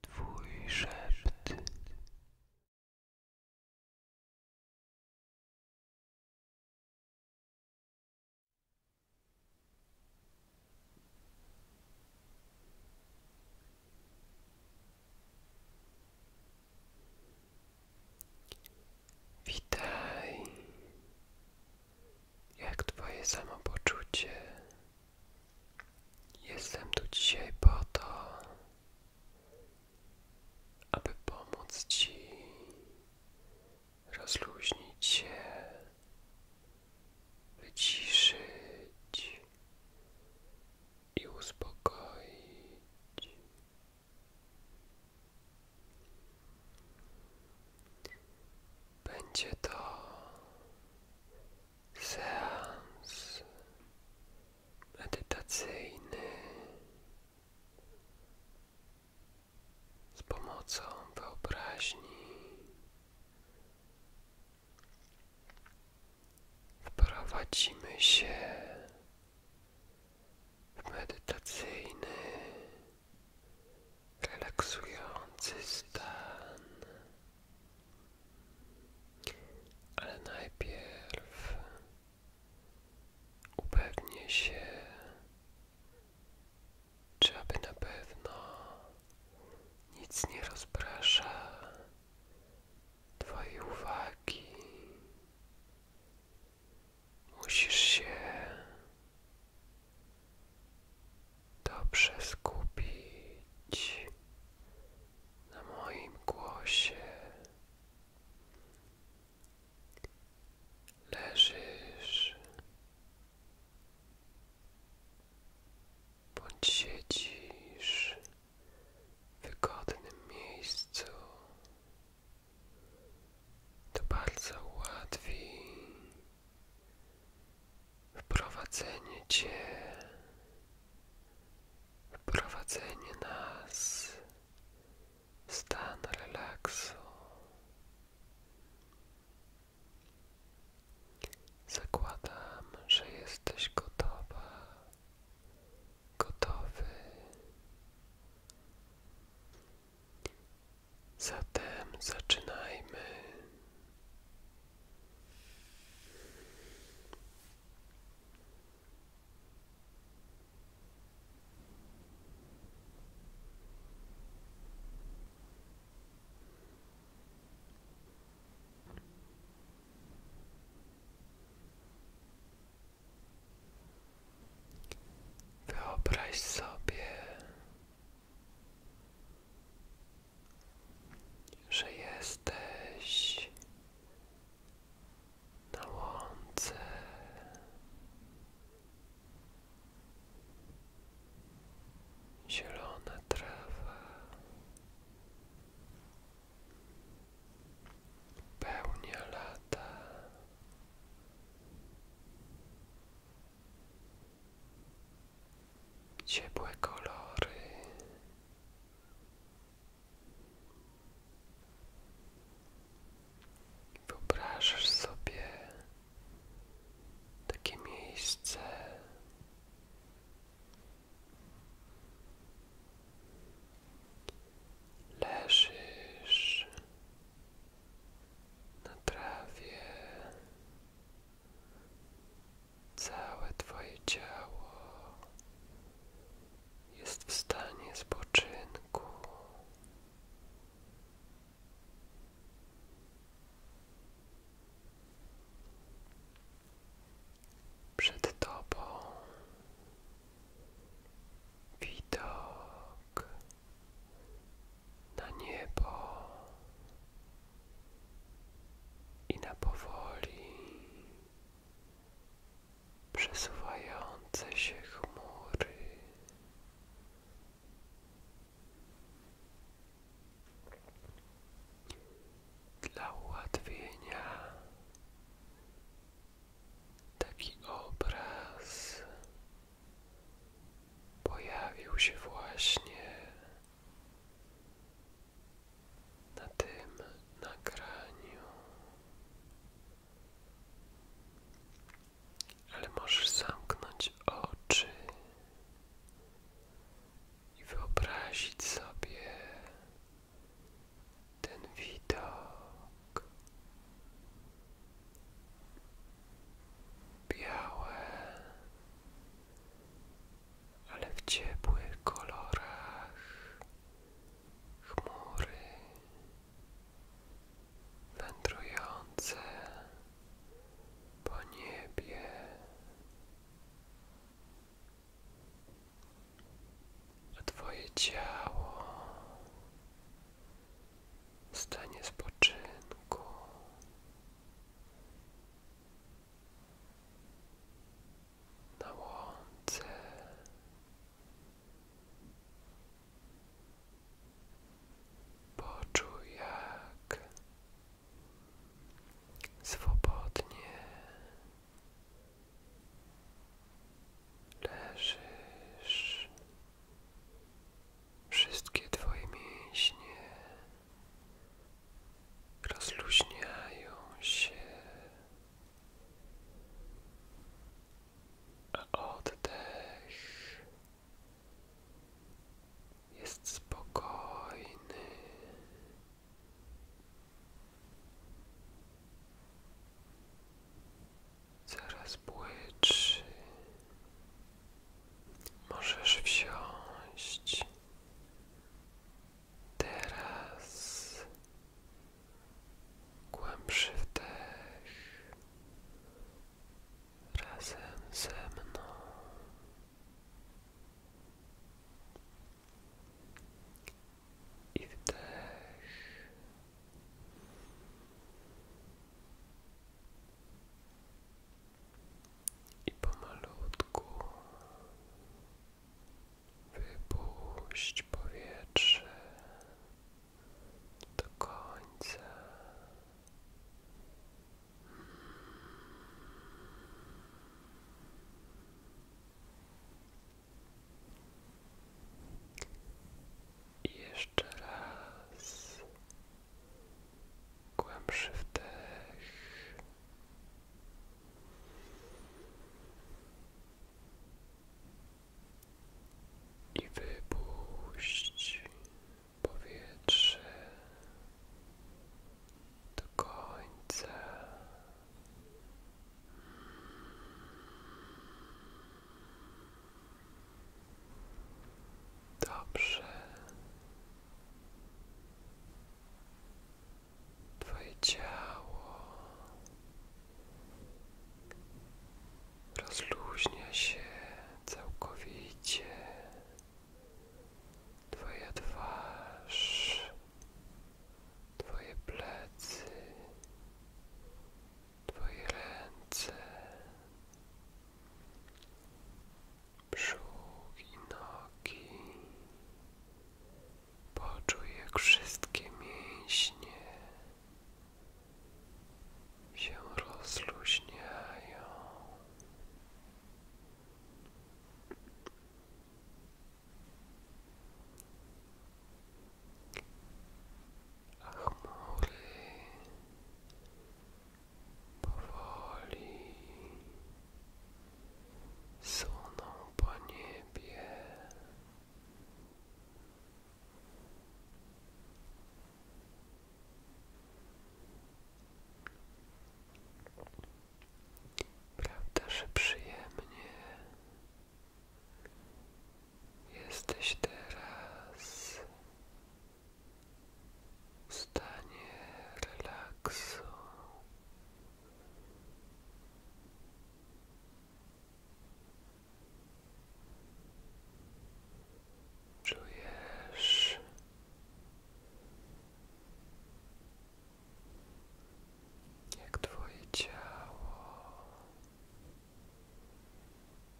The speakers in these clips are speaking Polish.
Twój szept. Witaj, jak twoje samopoczucie? Jestem tu dzisiaj po to, aby pomóc Ci rozluźnić się, wyciszyć i uspokoić. Będzie to seans medytacyjny z pomocą wyobraźni. Wprowadzimy się w medytacyjny relaksujący stan, ale najpierw upewnię się, czy aby na pewno nic nie rozprasza Twojej uwagi. Musisz się Dobrze skupić na moim głosie. Leżysz bądź siedzisz w wygodnym miejscu. To bardzo ułatwi wprowadzenie Cię, wprowadzenie nas w stan relaksu. Zakładam, że jesteś gotowa, gotowy Zatem zaczynajmy. Wyobraź sobie, że jesteś na łące. Zielona trawa, pełnia lata ciepłe kolory. Wyobrażasz sobie takie miejsce. Leżysz na trawie całe Twoje ciało jest w stanie spoczynku. Przed Tobą widok na niebo i na powoli przesuwające się chmury. Dla ułatwienia Taki obraz pojawił się właśnie na tym nagraniu, ale możesz zamknąć oczy i wyobrazić sobie ten widok białe, ale w ciepłych kolorach chmury wędrujące po niebie a Twoje ciało w stanie spoczynku. Na łące poczuj, jak swobodnie leżysz, wszystkie Twoje mięśnie rozluźniają się, a oddech jest spokojny. Zaraz błyczy. Możesz wsiąść. Teraz głębszy wdech razem ze mną i wdech. I pomalutku wypuść powietrze do końca. I jeszcze raz głębszy wdech. I wypuść powietrze do końca. Dobrze. Twoje ciało rozluźnia się całkowicie. Twoja twarz Twoje plecy, Twoje ręce, brzuch i nogi. Poczuj, jak wszystkie mięśnie się rozluźniają chmury powoli suną po niebie. Prawda, że przyjemnie jesteś teraz w stanie relaksu. Czujesz jak Twoje ciało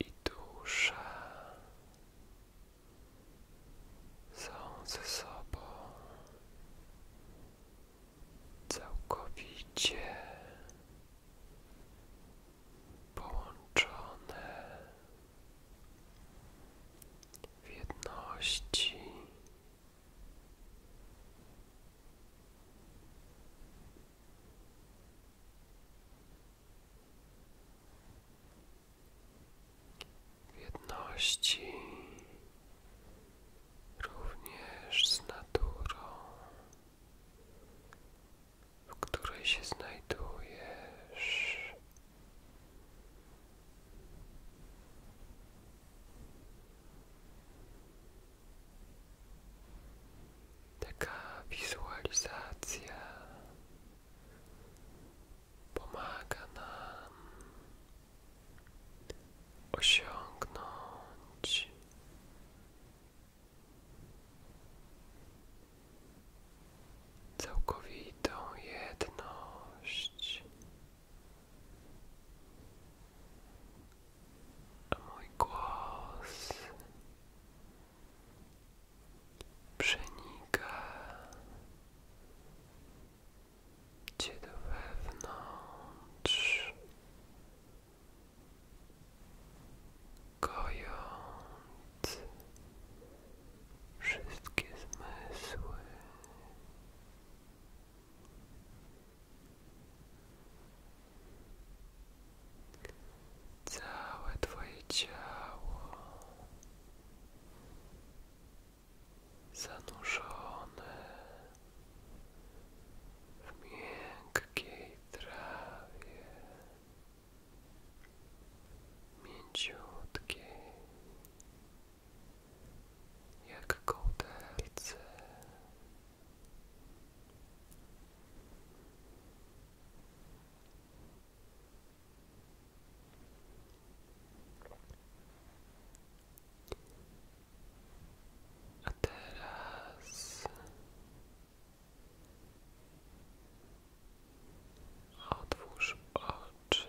i dusza są ze sobą całkowicie połączone w jedności w jedności również z naturą, w której się znajdujesz. Taka wizualizacja pomaga nam osiągnąć całkowitą jedność mój głos przenika Cię do wewnątrz, wszystkie zmysły. Całe Twoje ciało zanurzone w miękkiej trawie, mięciutkiej. Jaką kołderce. A teraz Otwórz oczy.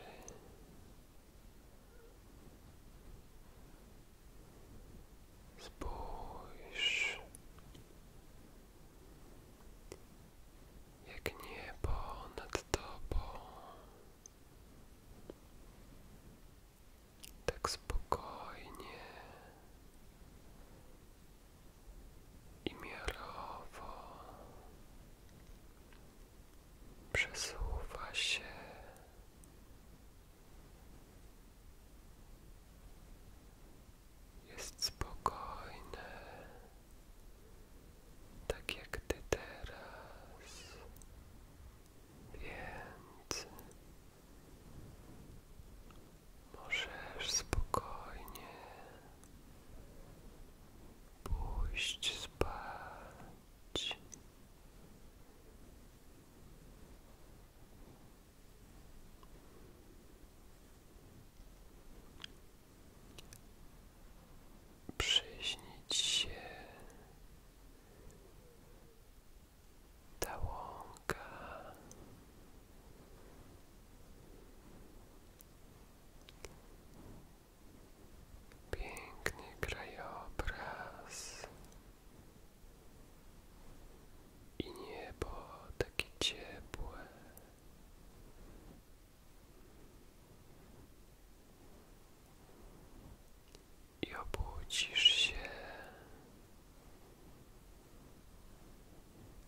Spójrz, jak niebo nad tobą, tak spokojnie i miarowo przesuwa się jest spokojne, tak jak ty teraz, więc możesz spokojnie pójść spać. Przyśnić się ta Piękny krajobraz i niebo takie ciepłe. I obudzisz się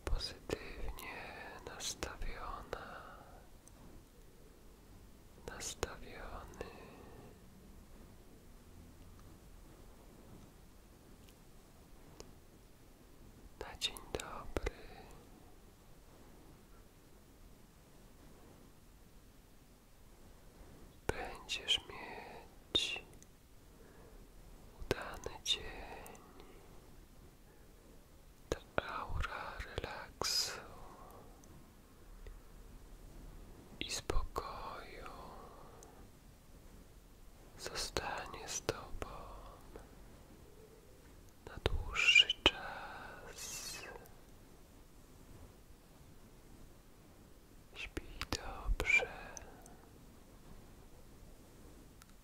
pozytywnie nastawiona, nastawiony. Na dzień dobry. Będziesz mieć udany dzień ta aura i spokoju zostanie z Tobą na dłuższy czas. Śpi dobrze.